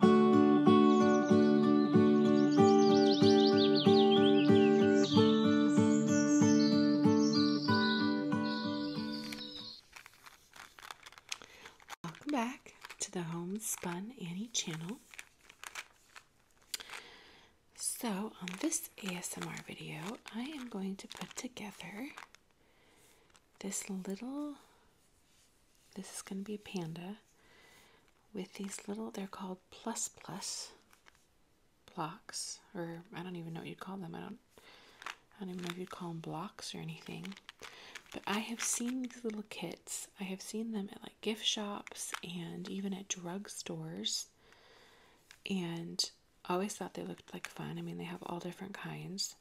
Welcome back to the Homespun Annie channel. So, on this ASMR video, I am going to put together this little this is going to be a panda with these little, they're called plus plus blocks, or I don't even know what you'd call them. I don't, I don't even know if you'd call them blocks or anything. But I have seen these little kits. I have seen them at like gift shops and even at drugstores. And always thought they looked like fun. I mean, they have all different kinds.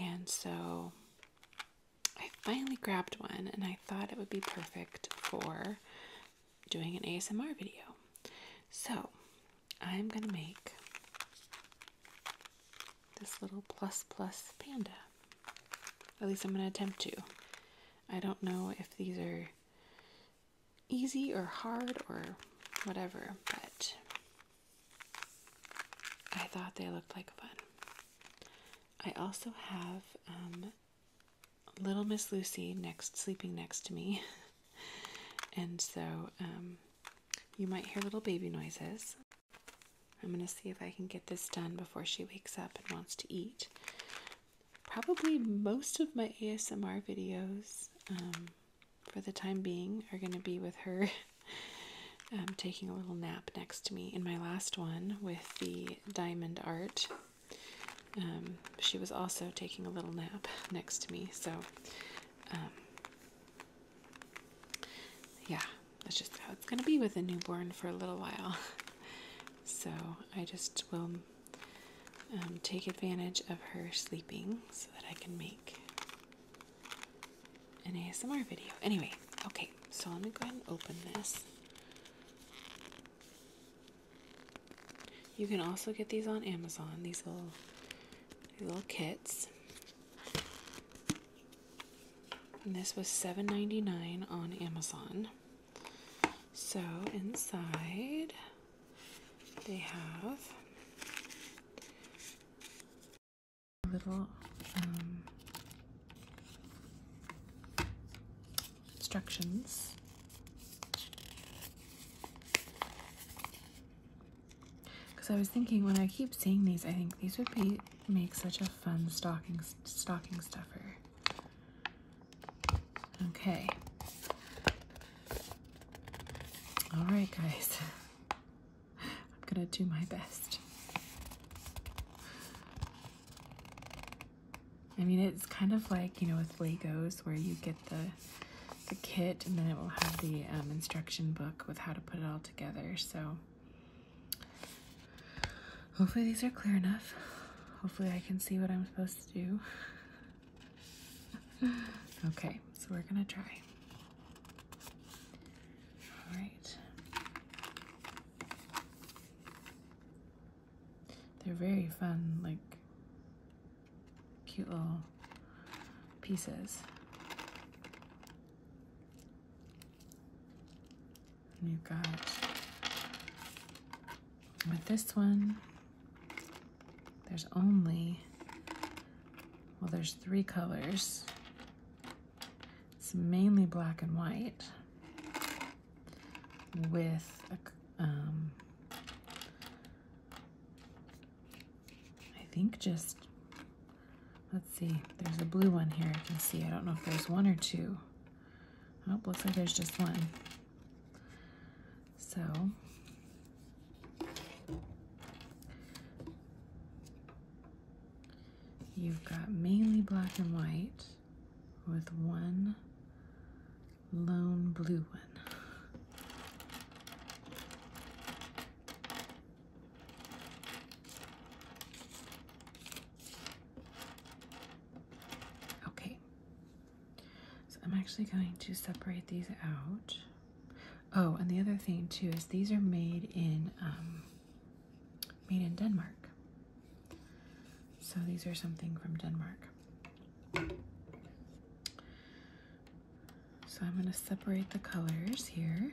And so I finally grabbed one and I thought it would be perfect for doing an ASMR video. So I'm going to make this little plus plus panda. At least I'm going to attempt to. I don't know if these are easy or hard or whatever, but I thought they looked like fun. I also have um, Little Miss Lucy next sleeping next to me, and so um, you might hear little baby noises. I'm gonna see if I can get this done before she wakes up and wants to eat. Probably most of my ASMR videos um, for the time being are gonna be with her um, taking a little nap next to me. In my last one with the diamond art, um, she was also taking a little nap next to me. So, um, yeah, that's just how it's going to be with a newborn for a little while. So, I just will um, take advantage of her sleeping so that I can make an ASMR video. Anyway, okay, so let me go ahead and open this. You can also get these on Amazon, these little little kits. And this was $7.99 on Amazon. So inside they have little um, instructions. Because I was thinking, when I keep seeing these, I think these would be make such a fun stocking stocking stuffer. Okay. All right, guys. I'm gonna do my best. I mean, it's kind of like, you know, with Legos where you get the, the kit and then it will have the um, instruction book with how to put it all together. So hopefully these are clear enough. Hopefully I can see what I'm supposed to do. okay, so we're gonna try. All right. They're very fun, like cute little pieces. you've got with this one, there's only, well, there's three colors. It's mainly black and white with um, I think just, let's see, there's a blue one here I can see. I don't know if there's one or two. Oh, looks like there's just one. So, You've got mainly black and white with one lone blue one. Okay, so I'm actually going to separate these out. Oh, and the other thing too is these are made in um, made in Denmark. So these are something from Denmark. So I'm going to separate the colors here.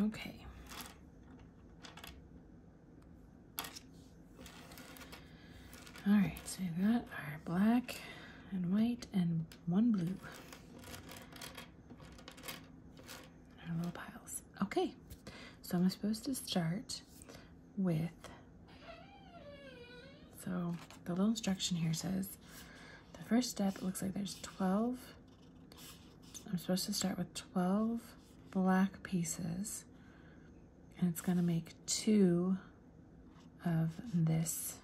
Okay. All right, so we've got our black and white and one blue. Our little piles. Okay, so I'm supposed to start with, so the little instruction here says, the first step looks like there's 12. I'm supposed to start with 12 black pieces and it's gonna make two of this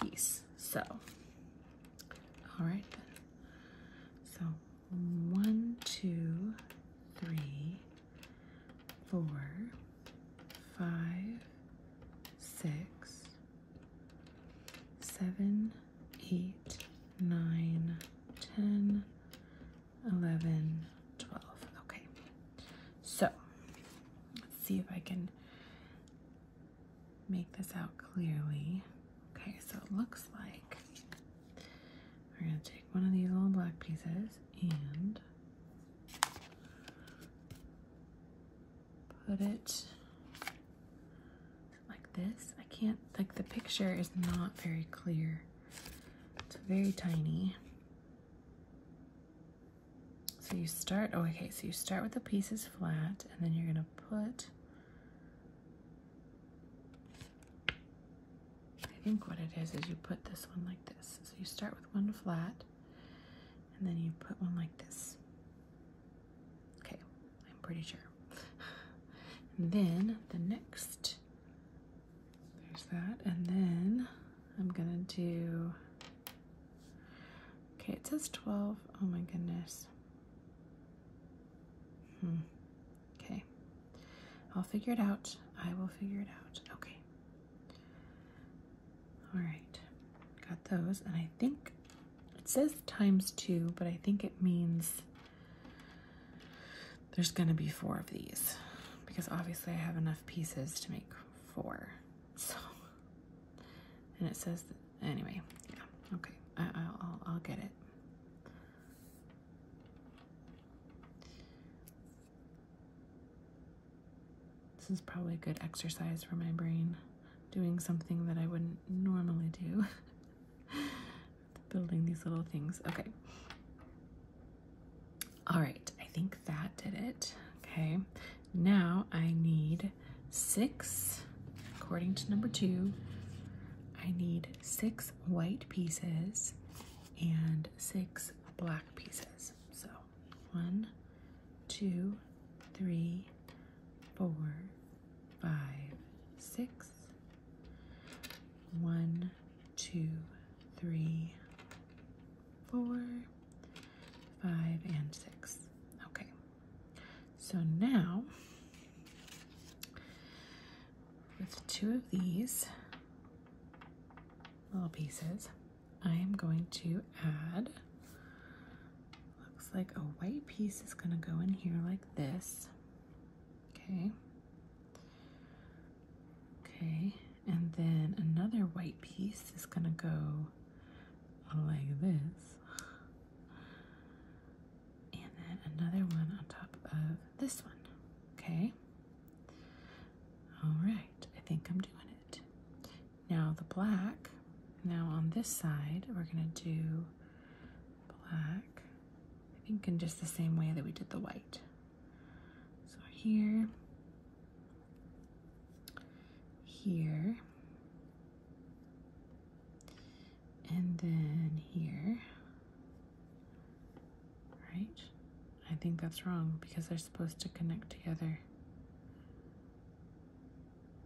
piece. So, all right So one, two, three, four, five, six, 7, 8, 9, 10, 11, 12. Okay, so let's see if I can make this out clearly. Okay, so it looks like we're going to take one of these little black pieces and put it like this. I can't, like the picture is not very clear. It's very tiny. So you start, oh, okay, so you start with the pieces flat and then you're gonna put, I think what it is is you put this one like this. So you start with one flat and then you put one like this. Okay, I'm pretty sure. then the next, there's that. And then I'm gonna do, okay, it says 12. Oh my goodness. Hmm. Okay. I'll figure it out. I will figure it out. Okay. All right, got those. And I think it says times two, but I think it means there's gonna be four of these because obviously I have enough pieces to make four. So, and it says, anyway, yeah, okay, I, will I'll get it. This is probably a good exercise for my brain, doing something that I wouldn't normally do. Building these little things. Okay. All right, I think that did it. Okay, now I need six, according to number two, I need six white pieces and six black pieces. So one, two, three, four, five, six, one, two, three, four, five, and six. Okay, so now with two of these little pieces, I am going to add Looks like a white piece is going to go in here like this. Okay. Okay, and then another white piece is going to go like this. And then another one on top of this one. Okay. All right, I think I'm doing it. Now the black, now on this side, we're gonna do black, I think in just the same way that we did the white. So here, here, and then here, right? I think that's wrong because they're supposed to connect together.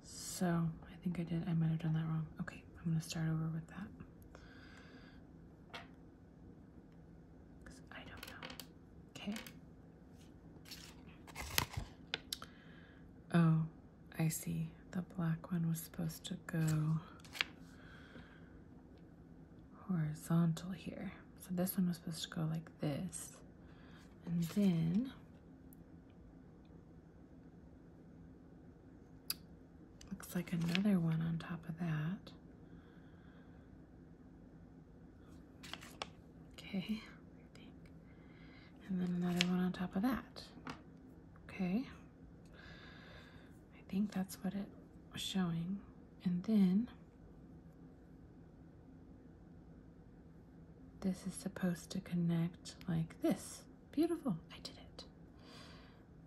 So I think I did, I might have done that wrong. Okay, I'm gonna start over with that. I don't know. Okay. Oh, I see. The black one was supposed to go horizontal here. So this one was supposed to go like this. And then Looks like another one on top of that. Okay, and then another one on top of that. Okay, I think that's what it was showing. And then this is supposed to connect like this. Beautiful. I did it.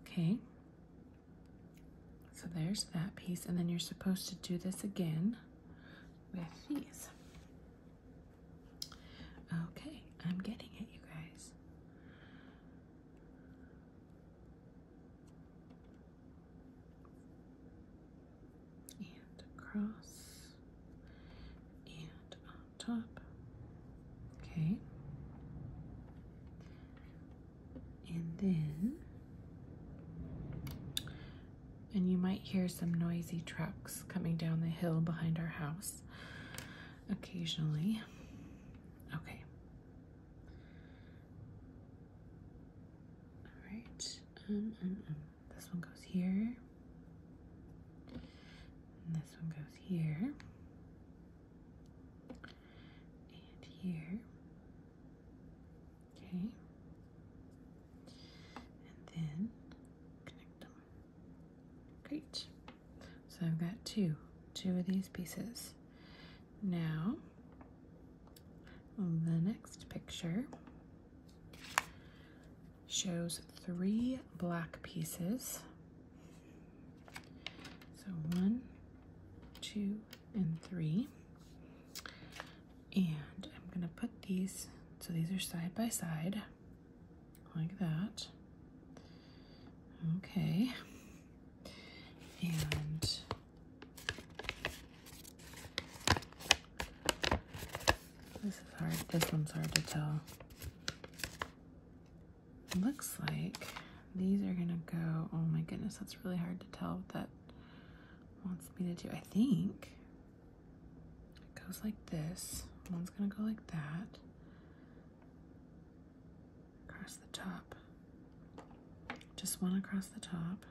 Okay. So there's that piece. And then you're supposed to do this again with these. Okay. I'm getting it, you guys and across and on top. Okay. And then, and you might hear some noisy trucks coming down the hill behind our house occasionally. Okay. All right. Um, um, um this one goes here, and this one goes here, and here. Okay. And then connect them. Great. So I've got two, two of these pieces. Now, the next picture, shows three black pieces. So one, two, and three. And I'm gonna put these, so these are side by side, like that. Okay. And this is hard. This one's hard to tell. Looks like these are gonna go. Oh my goodness, that's really hard to tell that wants me to do. I think it goes like this. One's gonna go like that. Across the top. Just one across the top,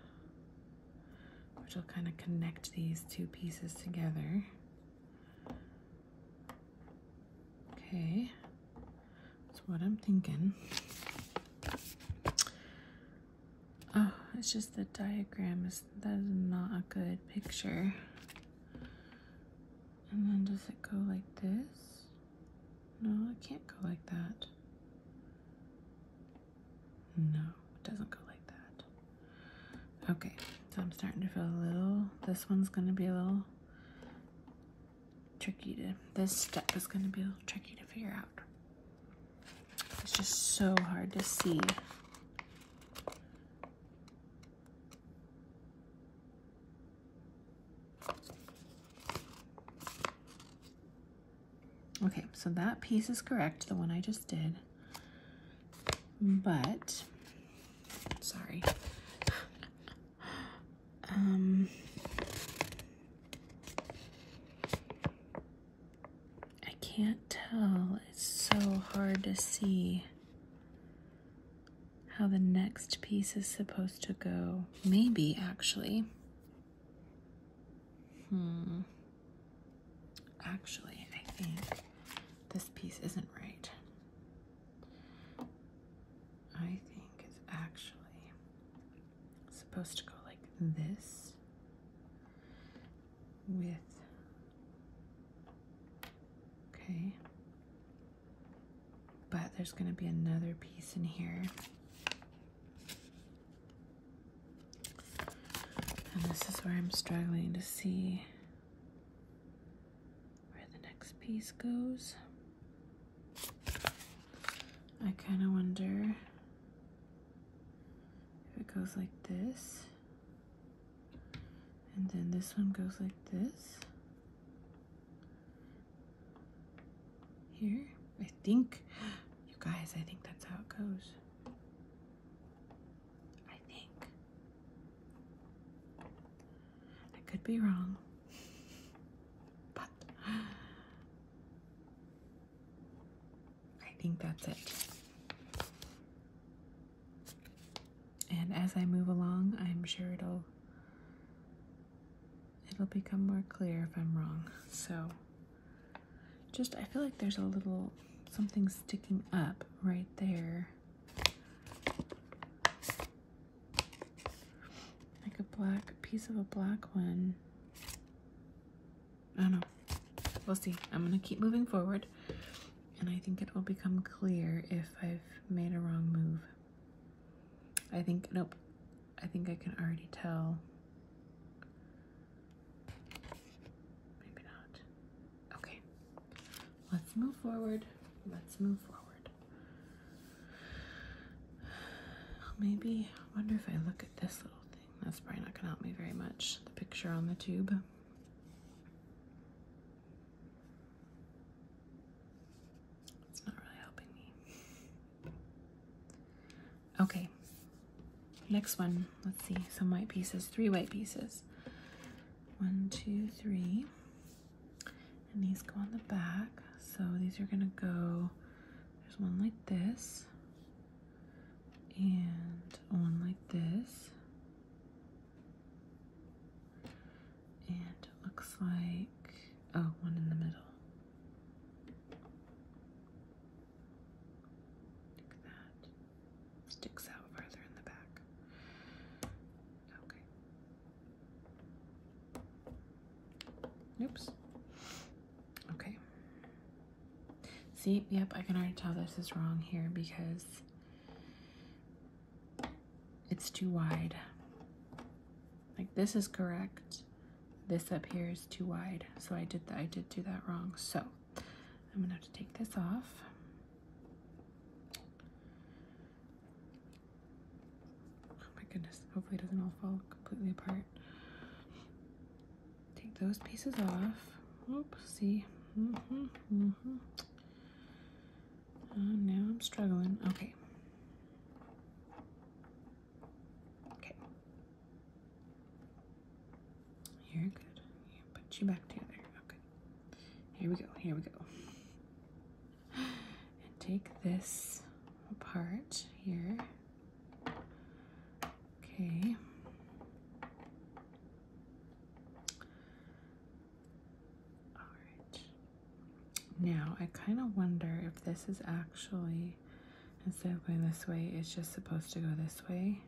which will kind of connect these two pieces together. Okay, that's what I'm thinking. Oh, it's just the diagram is that is not a good picture. And then does it go like this? No, it can't go like that. No, it doesn't go like that. Okay, so I'm starting to feel a little, this one's going to be a little tricky to, this step is going to be a little tricky to figure out. It's just so hard to see. Okay, so that piece is correct, the one I just did. But, sorry. Um, I can't tell. It's so hard to see how the next piece is supposed to go. Maybe, actually. Hmm. Actually, I think this piece isn't right. I think it's actually supposed to go like this with. Okay. But there's going to be another piece in here. And this is where I'm struggling to see where the next piece goes. I kind of wonder if it goes like this. And then this one goes like this. Here, I think, you guys, I think that's how it goes. I think. I could be wrong, but I think that's it. And as I move along, I'm sure it'll it'll become more clear if I'm wrong. So just I feel like there's a little something sticking up right there like a black piece of a black one. I don't know. We'll see. I'm gonna keep moving forward and I think it will become clear if I've made a wrong move. I think, nope, I think I can already tell. Maybe not. Okay, let's move forward. Let's move forward. Maybe, I wonder if I look at this little thing. That's probably not going to help me very much. The picture on the tube. It's not really helping me. Okay, next one. Let's see. Some white pieces, three white pieces. One, two, three. And these go on the back. So these are gonna go, there's one like this, and one like this. And looks like, oh, one in the middle. Like that sticks out farther in the back. Okay. Oops. Okay. See, yep, I can already tell this is wrong here because it's too wide. Like this is correct. This up here is too wide. So I did that I did do that wrong. So I'm gonna have to take this off. Oh my goodness, hopefully it doesn't all fall completely apart. Take those pieces off. Oops, see. Mm -hmm, mm -hmm. now I'm struggling. Okay. Okay. you good. put you back together. Okay here we go, here we go. And take this part here. Okay. All right. Now, I kind of wonder if this is actually, instead of going this way, it's just supposed to go this way.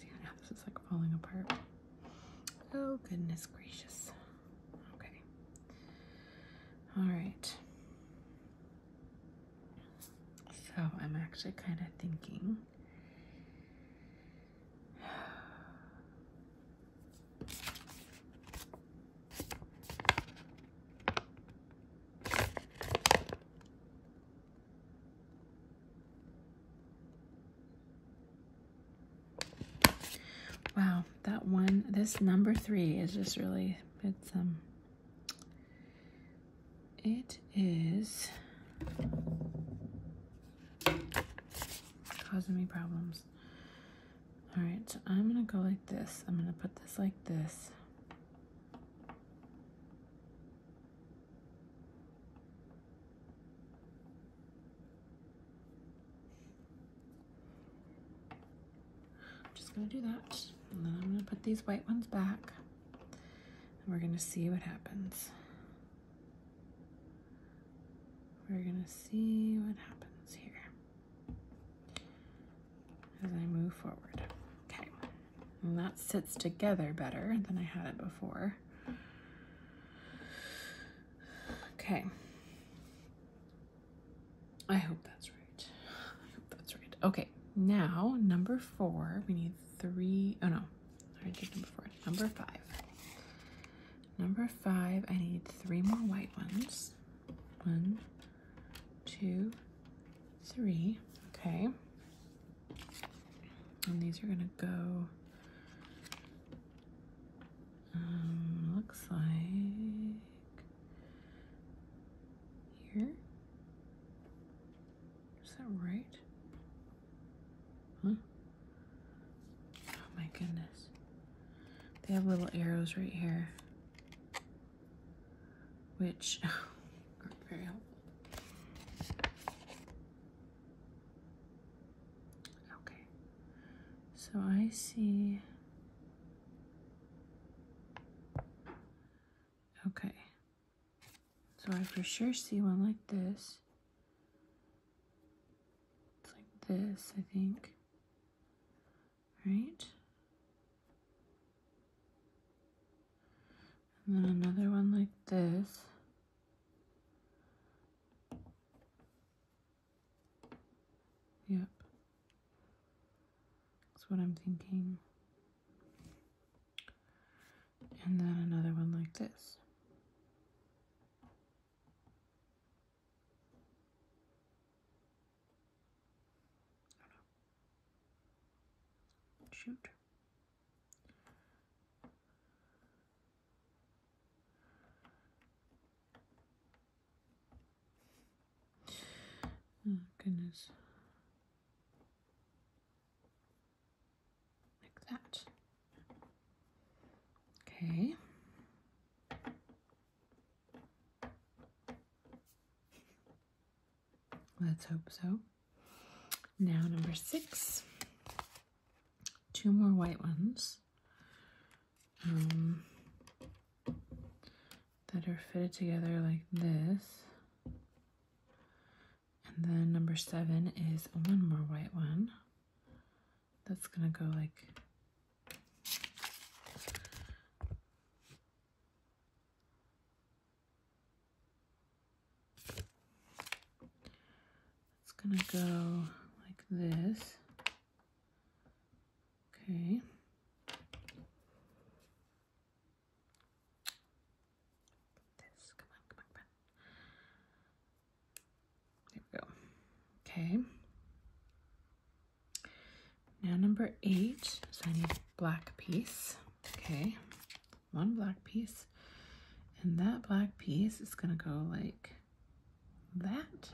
See how this is like falling apart. Oh goodness gracious. Okay. Alright. So I'm actually kind of thinking. Wow, that one, this number three is just really, it's, um, it is causing me problems. All right, so I'm gonna go like this. I'm gonna put this like this. I'm just gonna do that and then I'm gonna put these white ones back and we're gonna see what happens. We're gonna see what happens here as I move forward. Okay, and that sits together better than I had it before. Okay. I hope that's right. I hope that's right. Okay, now number four, we need three, oh no, I did number four, number five. Number five, I need three more white ones. One, two, three. Okay. And these are going to go, um, looks like here. Is that right? Huh? Oh my goodness. They have little arrows right here which oh, Okay, so I see. Okay, so I for sure see one like this. It's like this, I think. Right? And then another one like this. Yep. That's what I'm thinking. And then another one like this. Shoot. Oh, goodness. Like that. Okay. Let's hope so. Now, number six. Two more white ones um, that are fitted together like this. And then number seven is one more white one that's going to go like it's going to go like this. Okay. This, come on, come on, come There we go. Okay. Now number eight, so I need a black piece, okay, one black piece, and that black piece is gonna go like that.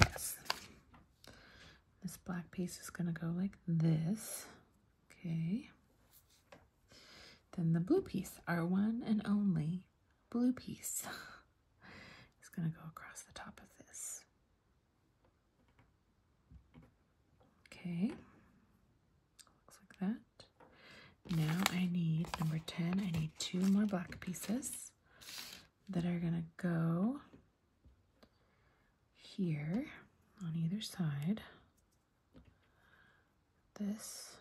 Yes. This black piece is gonna go like this, okay. Then the blue piece, our one and only blue piece, is gonna go across the top of this. Okay, looks like that. Now I need number 10, I need two more black pieces that are gonna go here on either side. This.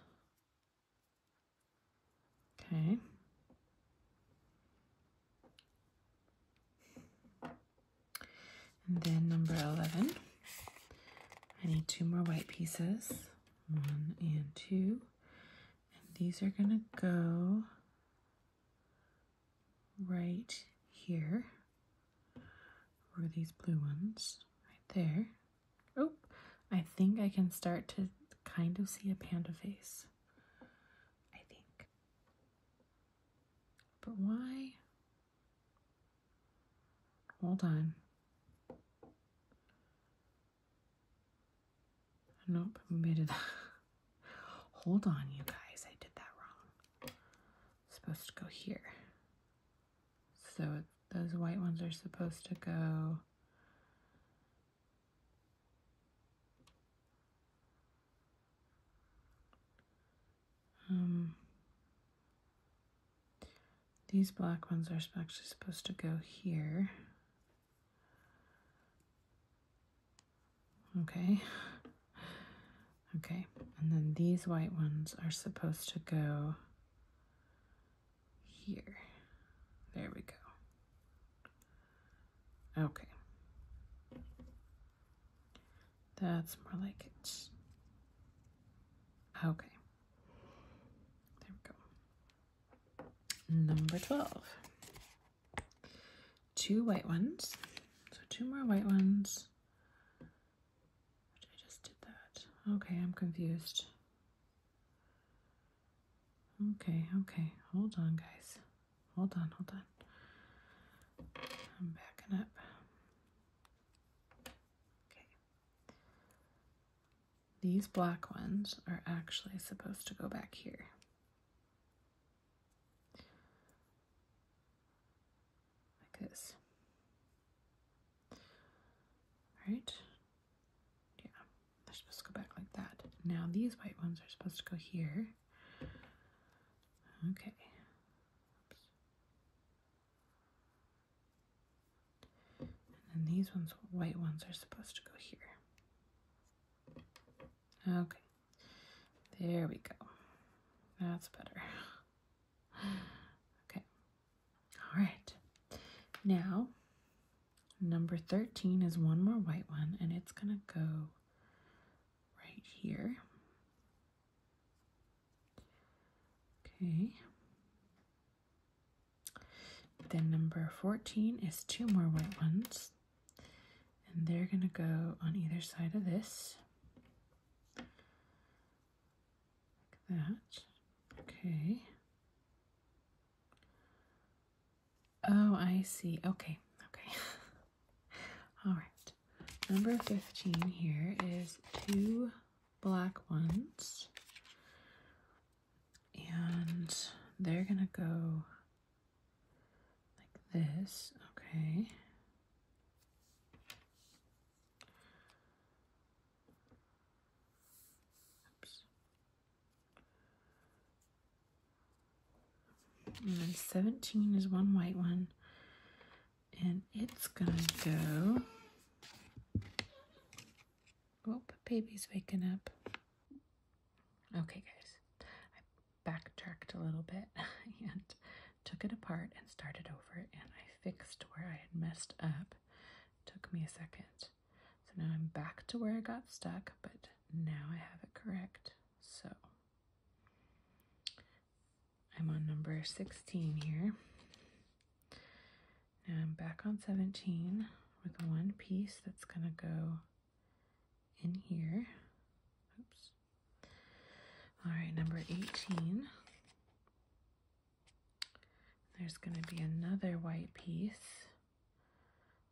Okay. And then number 11, I need two more white pieces, one and two. And these are gonna go right here, or these blue ones, right there. Oh, I think I can start to kind of see a panda face. I think. But why? Hold on. Nope, made it. Hold on, you guys. I did that wrong. supposed to go here. So those white ones are supposed to go um, these black ones are actually supposed to go here. Okay. Okay, and then these white ones are supposed to go here. There we go. Okay. That's more like it. Okay. There we go. Number 12. Two white ones. So two more white ones. I just did that. Okay, I'm confused. Okay, okay. Hold on, guys. Hold on, hold on. I'm backing up. Okay. These black ones are actually supposed to go back here. Like this. Right? Yeah, they're supposed to go back like that. Now these white ones are supposed to go here. Okay. And these ones, white ones, are supposed to go here. Okay. There we go. That's better. Okay. All right. Now, number 13 is one more white one, and it's going to go right here. Okay. Then number 14 is two more white ones. And they're going to go on either side of this. Like that. Okay. Oh, I see. Okay. Okay. All right, number 15 here is two black ones, and they're gonna go like this, okay. And then 17 is one white one. And it's gonna go. Oh, baby's waking up. Okay, guys. I backtracked a little bit and took it apart and started over. And I fixed where I had messed up. took me a second. So now I'm back to where I got stuck, but now I have it correct. So I'm on number 16 here. and I'm back on 17 with one piece that's going to go in here. Oops. All right, number 18. There's going to be another white piece.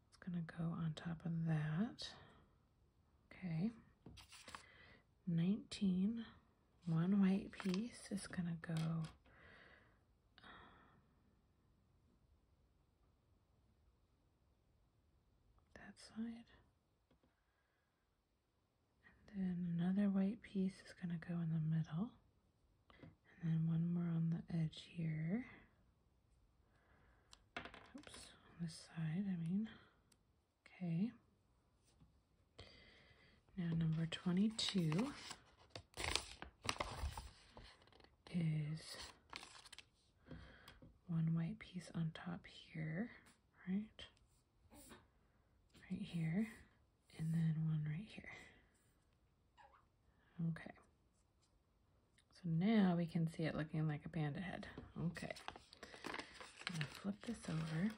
It's going to go on top of that. Okay. 19. One white piece is going to go um, that side. then another white piece is going to go in the middle. And then one more on the edge here. Oops, this side, I mean. Okay. Now number 22 is one white piece on top here, right? Right here, and then one right here. Okay. So now we can see it looking like a panda head. Okay. I'm going to flip this over.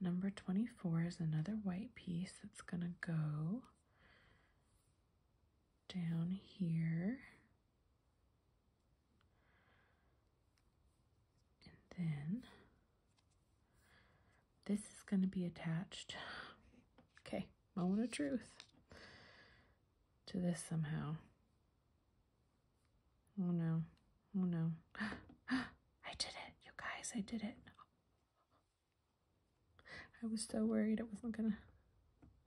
Number 24 is another white piece that's going to go down here. And then this is going to be attached. Okay, moment of truth to this somehow. Oh no. Oh no. I did it, you guys. I did it. I was so worried I wasn't gonna.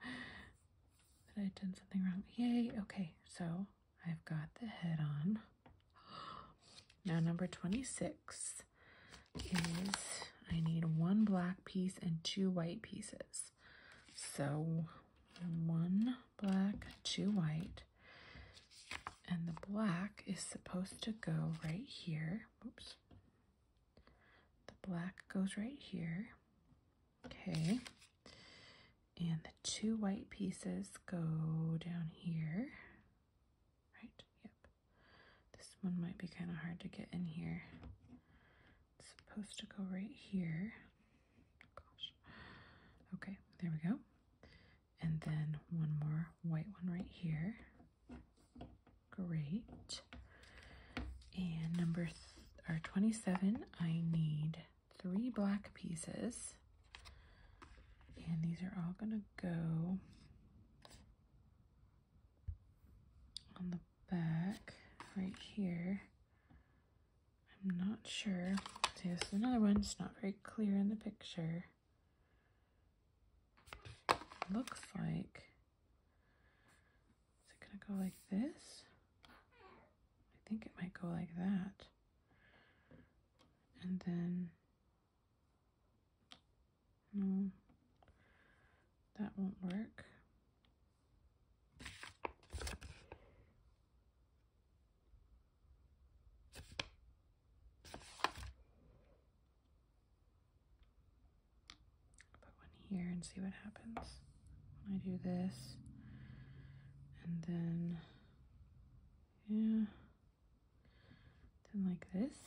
That I had done something wrong. Yay. Okay, so I've got the head on. Now, number 26 is I need one black piece and two white pieces. So one black, two white. And the black is supposed to go right here. Oops. The black goes right here. Okay. And the two white pieces go down here. Right? Yep. This one might be kind of hard to get in here. It's supposed to go right here. Okay, there we go. And then one more white one right here. Great. And number or 27, I need three black pieces. And these are all gonna go on the back right here I'm not sure. See, this is another one. It's not very clear in the picture. Looks like. Is it going to go like this? I think it might go like that. And then. No. That won't work. Put one here and see what happens I do this. And then, yeah, then like this.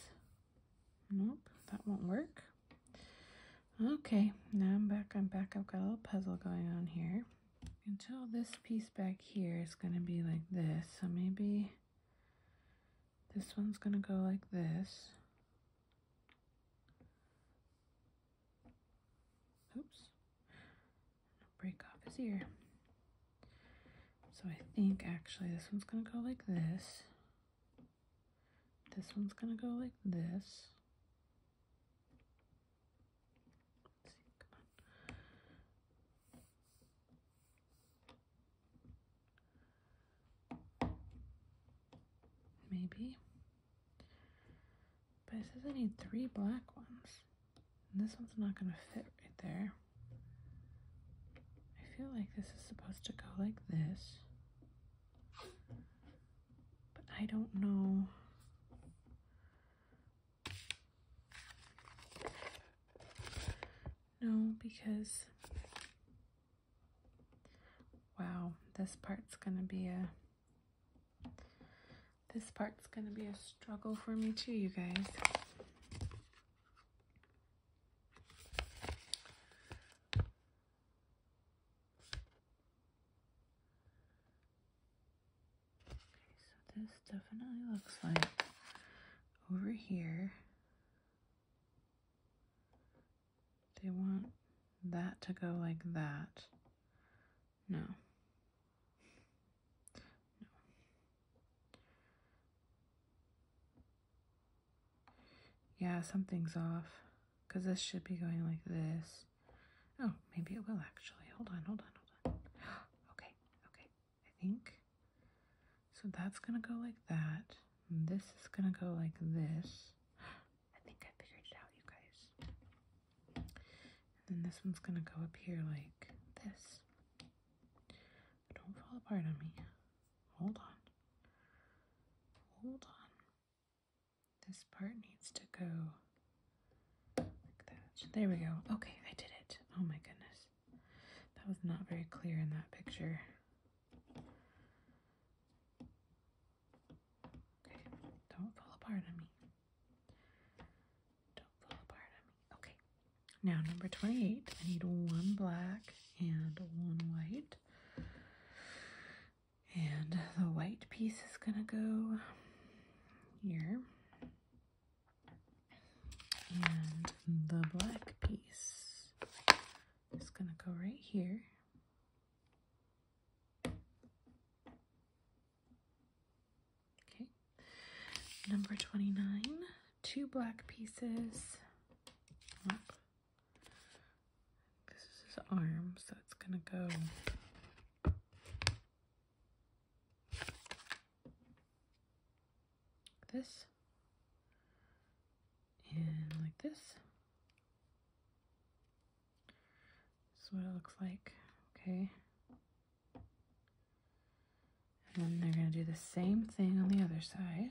Nope, that won't work. Okay, now I'm back, I'm back. I've got a little puzzle going on here. Until this piece back here is gonna be like this. So maybe this one's gonna go like this. Oops, break off his ear. So I think actually this one's gonna go like this. This one's gonna go like this. Maybe. But it says I need three black ones. And this one's not going to fit right there. I feel like this is supposed to go like this but I don't know. No, because, wow, this part's going to be a, this part's going to be a struggle for me too, you guys so this definitely looks like over here they want that to go like that no no yeah something's off because this should be going like this. Oh, maybe it will actually. Hold on, hold on, hold on. okay, okay, I think. So that's going to go like that. this is going to go like this. I think I figured it out, you guys. And then this one's going to go up here like this. Don't fall apart on me. Hold on. Hold on. This part needs to go like that. There we go. Okay, I did it. Oh my goodness. That was not very clear in that picture. Okay, don't fall apart on me. Don't fall apart on me. Okay, now number 28. I need one black and one white. And the white piece is gonna go here. And the black piece is gonna go right here. Okay, number 29, two black pieces. This is his arm, so it's gonna go this and like this. This is what it looks like. Okay. And then they're going to do the same thing on the other side.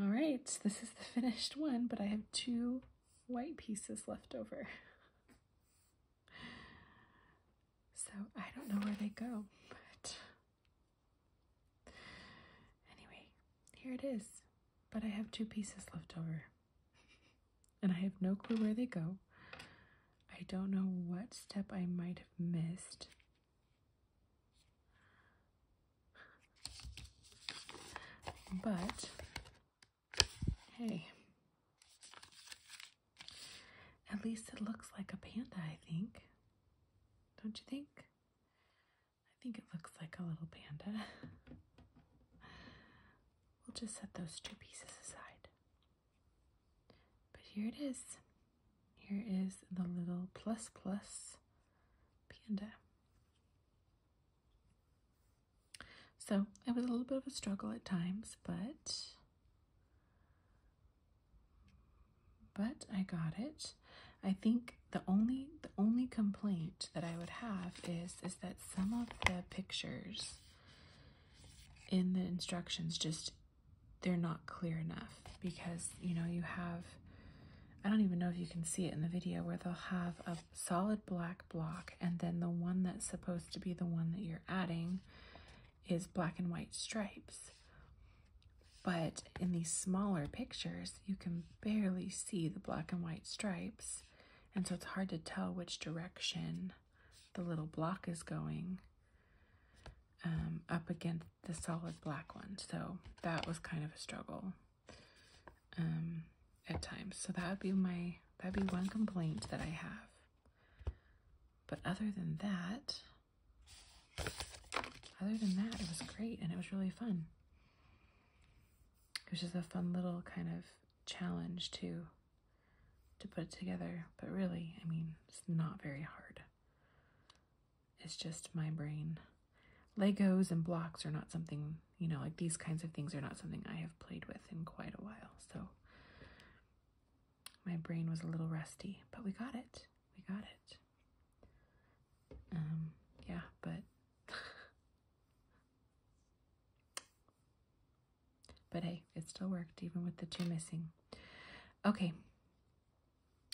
All right, this is the finished one, but I have two white pieces left over. So I don't know where they go, but anyway, here it is. But I have two pieces left over and I have no clue where they go. I don't know what step I might have missed but hey, at least it looks like a panda, I think. Don't you think? I think it looks like a little panda. we'll just set those two pieces aside. But here it is. Here is the little plus plus panda. So it was a little bit of a struggle at times, but but I got it. I think the only the only complaint that I would have is is that some of the pictures in the instructions just they're not clear enough because you know you have I don't even know if you can see it in the video where they'll have a solid black block and then the one that's supposed to be the one that you're adding is black and white stripes. But in these smaller pictures, you can barely see the black and white stripes. And so it's hard to tell which direction the little block is going um, up against the solid black one. So that was kind of a struggle um, at times. So that would be my, that'd be one complaint that I have. But other than that, other than that, it was great and it was really fun. It was just a fun little kind of challenge to to put it together. But really, I mean, it's not very hard. It's just my brain. Legos and blocks are not something, you know, like these kinds of things are not something I have played with in quite a while. So my brain was a little rusty, but we got it. We got it. Um, yeah, but but hey, it still worked even with the two missing. Okay,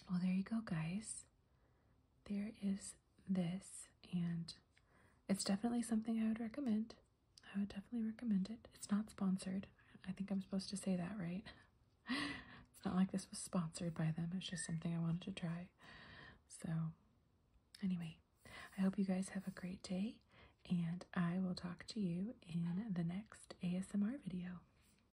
well, there you go, guys. There is this, and it's definitely something I would recommend. I would definitely recommend it. It's not sponsored. I think I'm supposed to say that, right? it's not like this was sponsored by them. It's just something I wanted to try. So, anyway, I hope you guys have a great day, and I will talk to you in the next ASMR video.